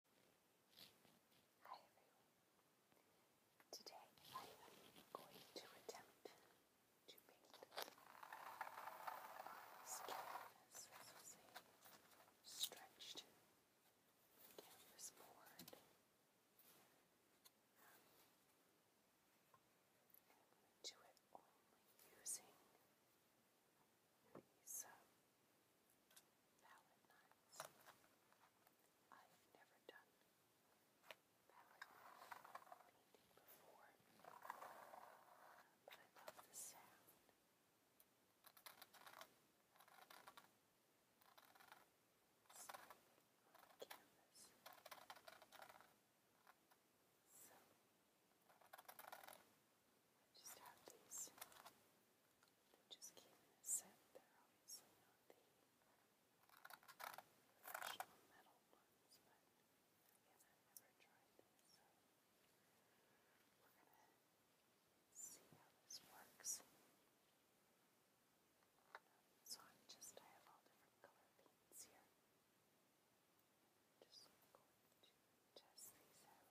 Hi everyone. Today I am going to attempt to paint on this stretched canvas board. Um, and do it only using these um, palette knives. I have never done palette painting before, but I love the sound. So, on the canvas. So, I just have these. They just came in a set. They're obviously not the professional metal ones, but I've never tried them, we're gonna see how this works. So I'm just, I have all different color paints here. Just going to test these out.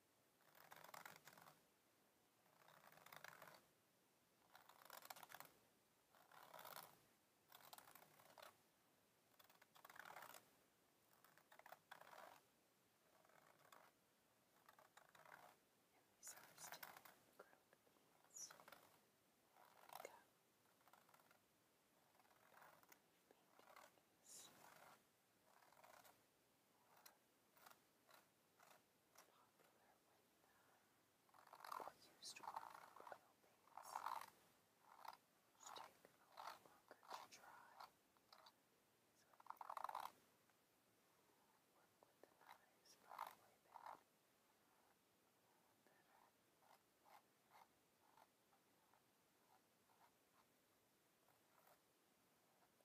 And these are still grilled beans. Go. Paintings popular with uh, used oil paints, which take a lot longer to dry. So work with the knives probably better. better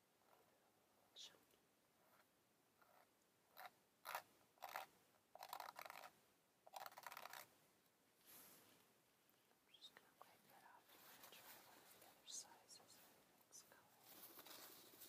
chunky. I'm just going to wipe that off. I'm going to try one of the other sizes in the next color. Okay,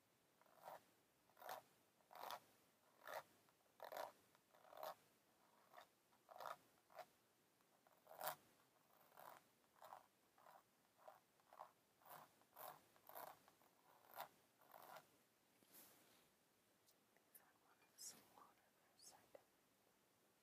If I wanted some water for a second, we're going to try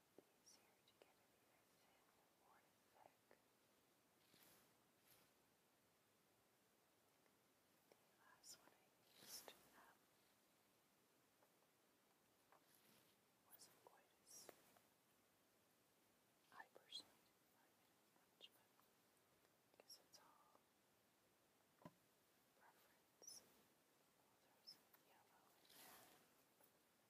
easier to get an even thin or The last one I used wasn't quite as I personally did but I guess it's all preference. i yellow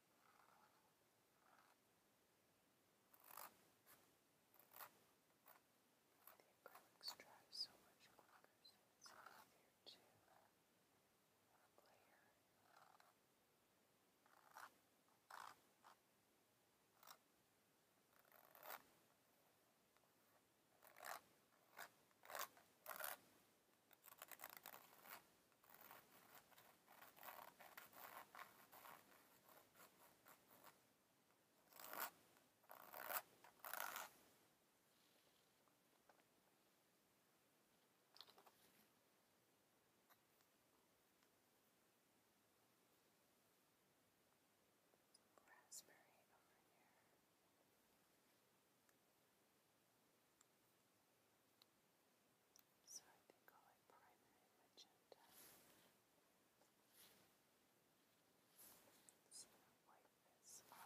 The acrylics dry so much quicker, so it's easier to uh, layer. Now Raspberry over here. Raspberry. So I think i primary magenta. So I'll wipe this yellow.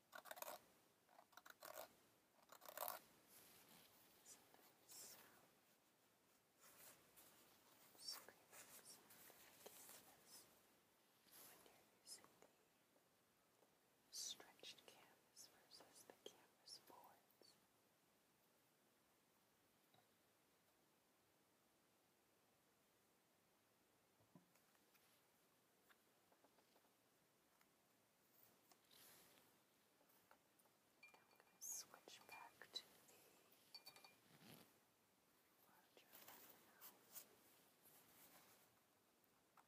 screaming sound that canvas when you're using the stretched canvas versus the canvas boards. Now now I'm going to switch back to the larger one now. Okay.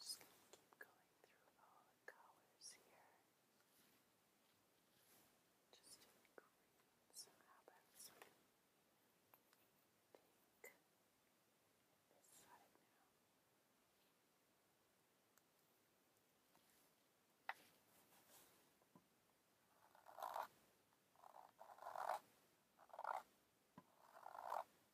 Just going to keep going through all the colors here. Just doing green, somehow that's pink. This side now. Just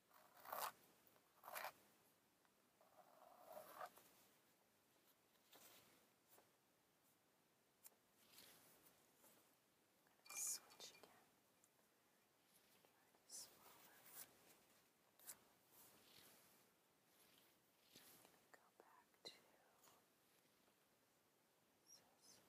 I'm gonna switch again. Try to swallow. I'm gonna go back to this.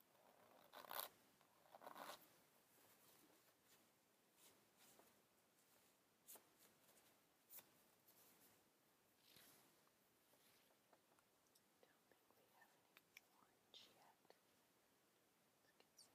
Don't think we have any orange yet. Let's get some orange over here. Yeah. Let's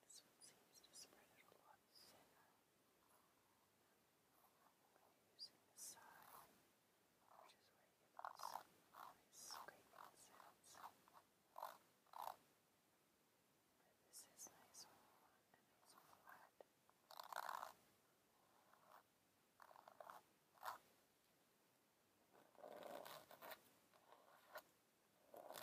this one seems to spread it a lot thinner when you're using the side which is where you get those nice scraping sounds. But this is nice and nice and flat. That one back, and I'm going to go back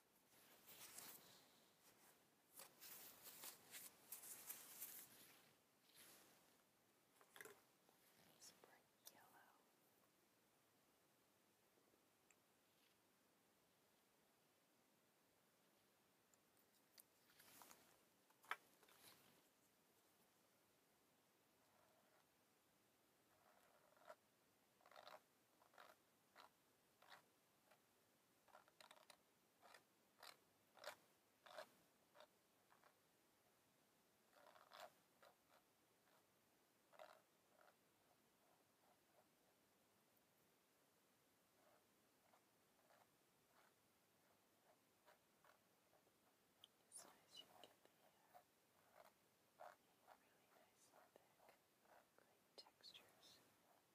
Nice bright yellow. As soon as you get the uh, really nice, thick, clean textures. Of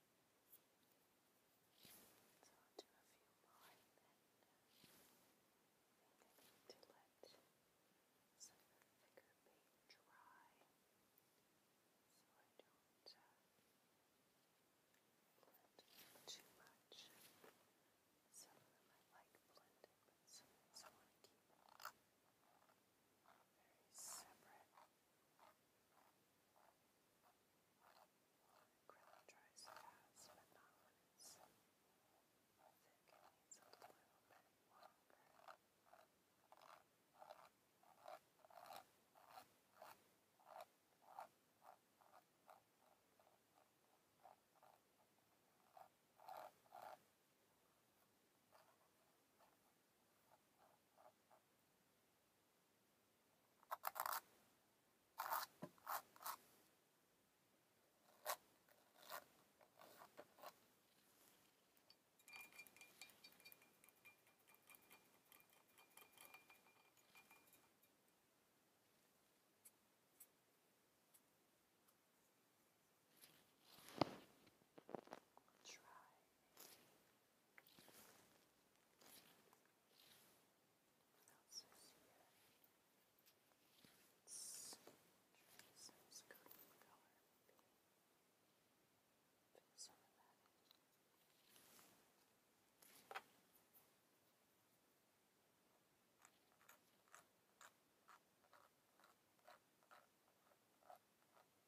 So I'll do a few more and then I need to let some of the thicker paint dry so I don't uh, blend too much. Some I like blended, but I want to keep very separate. Acrylic dries fast, but not when it's thick. It needs a little bit longer. Now Try what else is here? It's some coating color. Put some of that in. Let's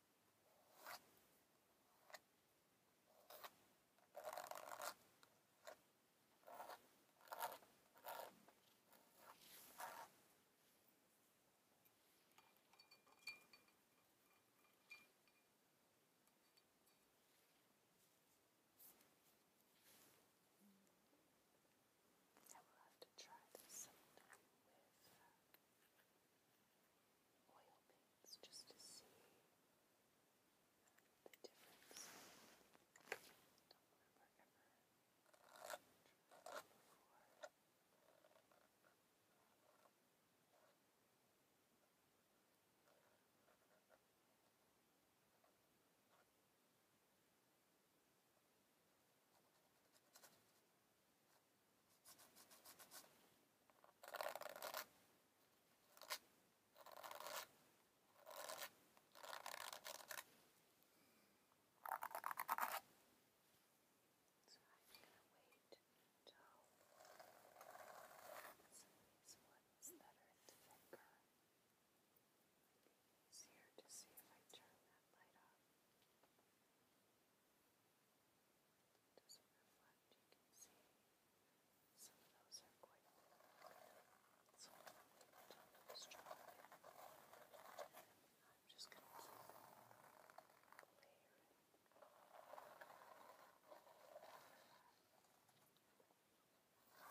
I will have to try this sometime with uh, oil paints just to see the difference. I don't remember ever trying before. I so I'm gonna wait until some of these ones that are thicker might be easier to see if I turn that light off doesn't reflect, you can see some of those are quite thick, some of them don't strong. I'm just going to keep layering. Now